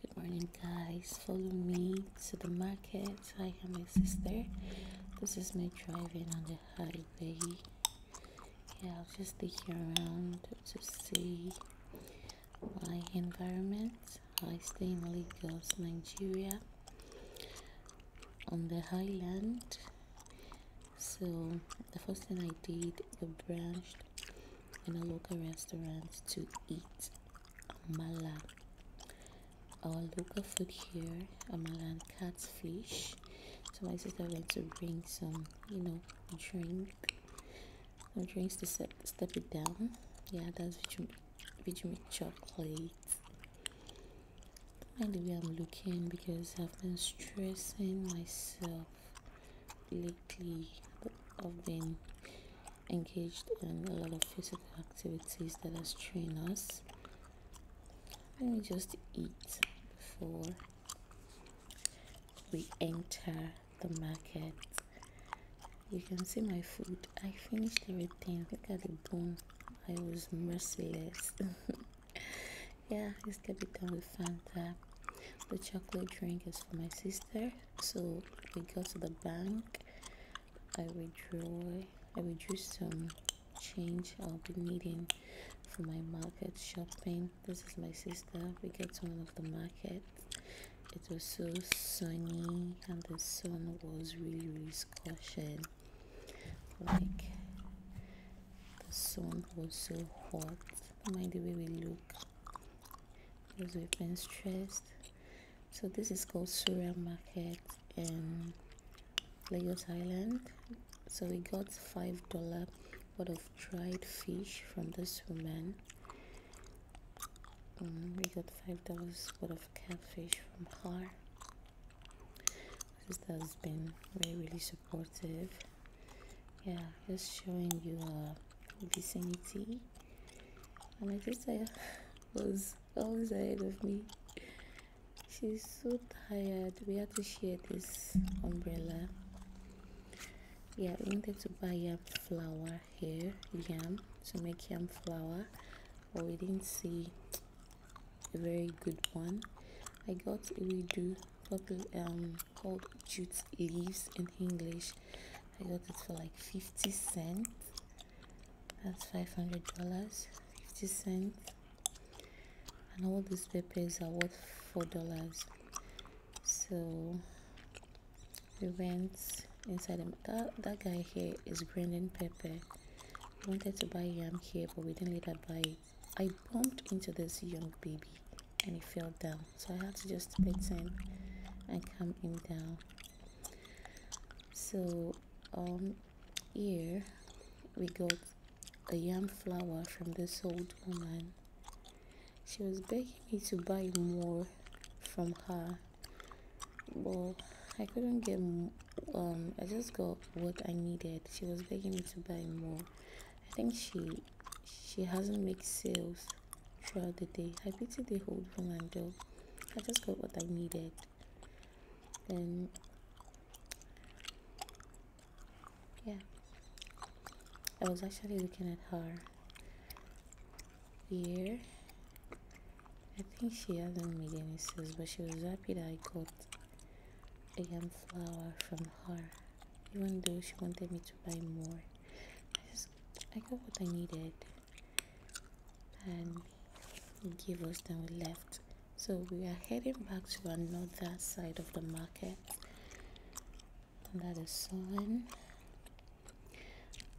Good morning, guys. Follow me to the market. I have my sister. This is me driving on the highway. Yeah, I was just looking around to see my environment. I stay in Lagos, Nigeria, on the highland. So the first thing I did, I branched in a local restaurant to eat mala. Our local food here, amala and catfish. So my sister went to bring some, you know, drink, some drinks to step, step it down. Yeah, that's Vigimit chocolate. Mind the way I'm looking because I've been stressing myself lately. I've been engaged in a lot of physical activities that has straining us let me just eat before we enter the market you can see my food i finished everything look at the bone i was merciless yeah let's get it done with fanta the chocolate drink is for my sister so we go to the bank i withdraw. i withdrew some change I'll be needing for my market shopping. This is my sister. We get to one of the markets. It was so sunny and the sun was really, really scorching. Like the sun was so hot. mind the way we look because we've been stressed. So this is called Surya Market in Lagos Island. So we got five dollar worth of dried fish from this woman. Mm, we got five dollars worth of catfish from her. Sister has been really really supportive. Yeah, just showing you our uh, vicinity. And my sister uh, was always ahead of me she's so tired we had to share this umbrella yeah we wanted to buy a flower here yam to make yam flower, but we didn't see a very good one i got a redo popular um called jute leaves in english i got it for like 50 cents that's 500 dollars 50 cents and all these papers are worth four dollars so we went inside him that that guy here is Brendan Pepper we wanted to buy yam here but we didn't let her buy I bumped into this young baby and he fell down so I had to just wait him and come in down so um here we got a yam flower from this old woman she was begging me to buy more from her but i couldn't get um i just got what i needed she was begging me to buy more i think she she hasn't made sales throughout the day i pity the old woman though i just got what i needed then yeah I was actually looking at her here I think she hasn't made any sales but she was happy that I got a yam flower from her even though she wanted me to buy more I just I got what I needed and gave us then we left so we are heading back to another side of the market under the sun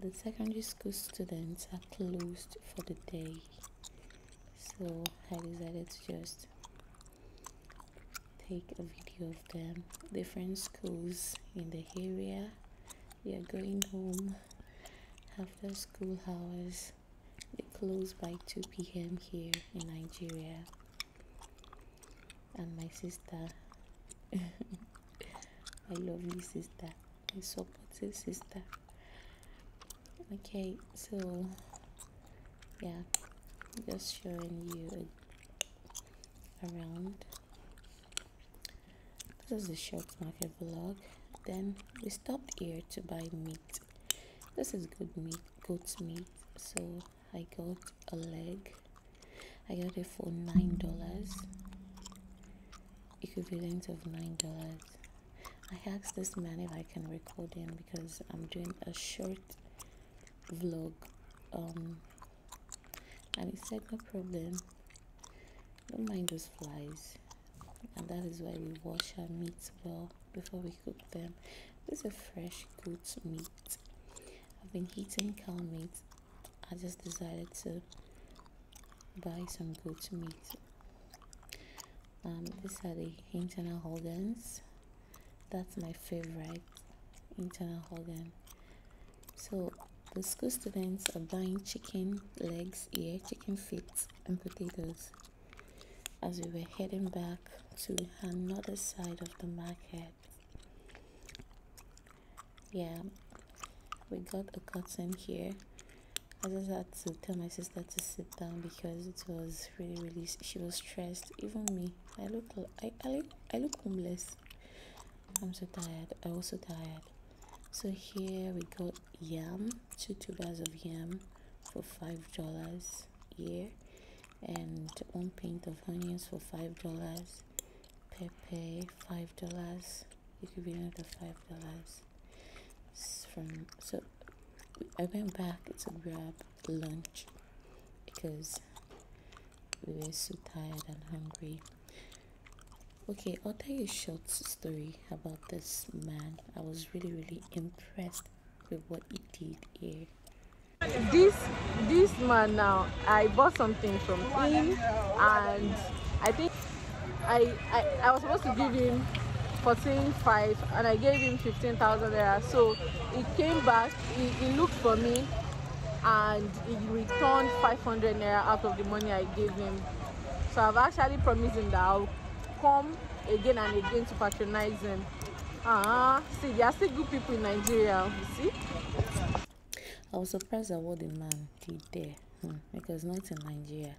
the secondary school students are closed for the day so i decided to just take a video of them different schools in the area We are going home after school hours they close by 2 p.m. here in Nigeria. And my sister, my lovely sister, my supportive sister. Okay, so yeah, just showing you around this is a short market vlog. Then we stopped here to buy meat. This is good meat, goat meat. So I got a leg. I got it for nine dollars, equivalent of nine dollars. I asked this man if I can record him because I'm doing a short vlog, um, and he said no problem. Don't mind those flies and that is why we wash our meats well before we cook them. This is fresh goat's meat. I've been eating cow meat. I just decided to buy some goat's meat. Um, these are the internal organs. That's my favorite internal organ. So the school students are buying chicken legs here, chicken feet, and potatoes as we were heading back to another side of the market. Yeah, we got a cotton here. I just had to tell my sister to sit down because it was really, really. She was stressed. Even me, I look, I, I, I look homeless. I'm so tired. I'm also tired so here we got yam two tubers of yam for five dollars here and one pint of onions for five dollars pepe five dollars it could be another five dollars from so I went back to grab lunch because we were so tired and hungry okay i'll tell you a short story about this man i was really really impressed with what he did here this this man now i bought something from him and i think i i, I was supposed to give him 14.5 and i gave him 15,000 naira so he came back he, looked for me and he returned 500 naira out of the money i gave him so I've actually promised him that I'll come again and again to patronize them. Ah, uh uh-huh. see, there are still good people in Nigeria, you see? I was surprised at what the man did there hmm, because not in Nigeria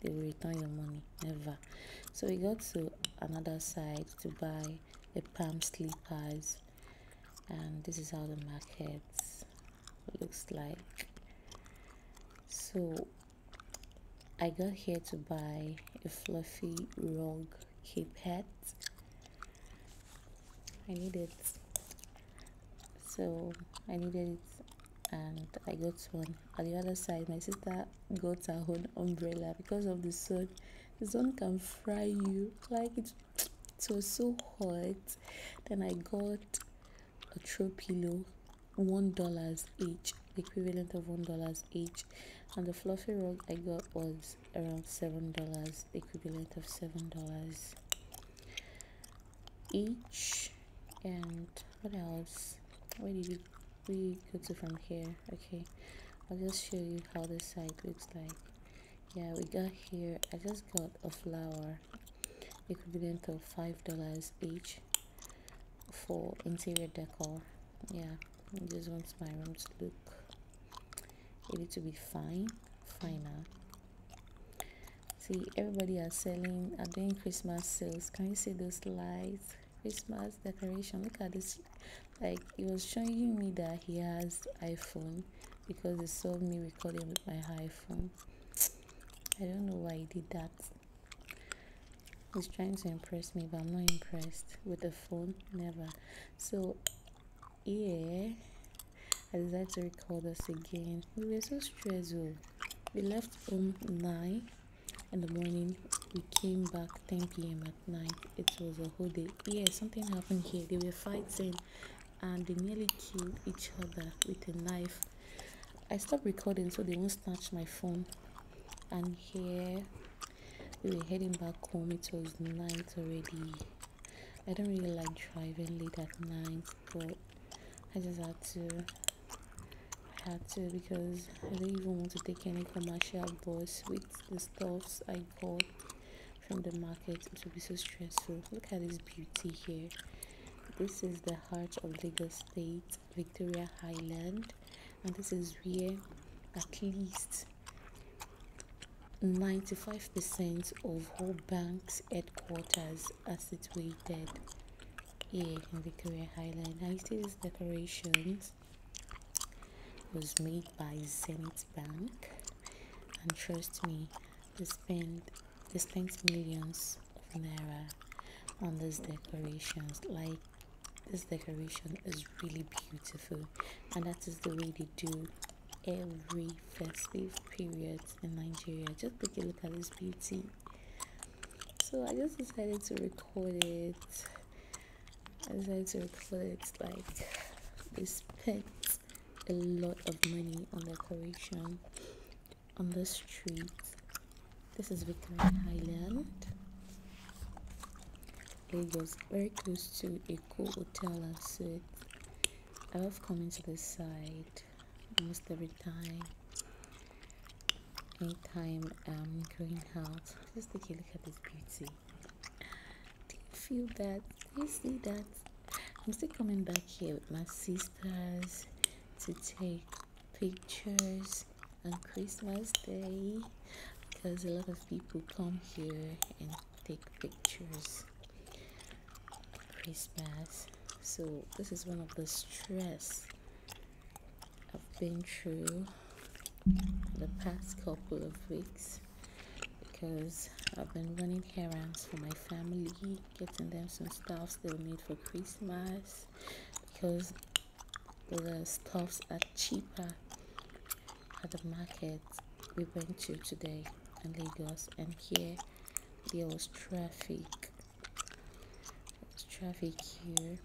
they will return your money never. So we got to another side to buy a palm slippers, and this is how the market looks like so I got here to buy a fluffy rug cape hat I needed, so I needed it and I got one on the other side my sister got her own umbrella because of the sun the sun can fry you like it it was so hot then i got a throw pillow one dollars each equivalent of one dollars each and the fluffy rug i got was around seven dollars equivalent of seven dollars each and what else where did we go to from here okay i'll just show you how this site looks like yeah we got here i just got a flower It could be of five dollars each for interior decor yeah I just want my room to look a little bit fine finer see everybody are selling are doing christmas sales can you see those lights christmas decoration look at this like he was showing me that he has iphone because they saw me recording with my iPhone. I don't know why he did that. He's trying to impress me, but I'm not impressed with the phone. Never. So, yeah, I like to record us again. We were so stressful. Oh. We left home 9 in the morning. We came back 10 p.m. at night. It was a whole day. Yeah, something happened here. There were fighting and they nearly killed each other with a knife. I stopped recording so they won't snatch my phone. And here we were heading back home. It was night already. I don't really like driving late at night, but I just had to. I had to because I don't even want to take any commercial bus with the stuffs I bought from the market it will be so stressful look at this beauty here this is the heart of lagos state victoria highland and this is where at least 95% of all banks headquarters are situated here in Victoria Highland. I see these decorations was made by Zenith Bank and trust me, they spend they spent millions of naira on these decorations. Like this decoration is really beautiful, and that is the way they do every festive period in Nigeria. Just take a look at this beauty. So I just decided to record it. I decided to record it like this pen a lot of money on decoration on the street. This is Victoria Highland. It was very close to a cool hotel and suite. I love coming to this side almost every time. Anytime I'm going out, just take a look at this beauty. Do you feel that? Do you see that? I'm still coming back here with my sisters to take pictures on Christmas Day because a lot of people come here and take pictures Christmas. So this is one of the stress I've been through the past couple of weeks because I've been running errands for my family, getting them some stuffs they'll need for Christmas because the stuffs are cheaper at the market we went to today in Lagos and here there was traffic. There was traffic here.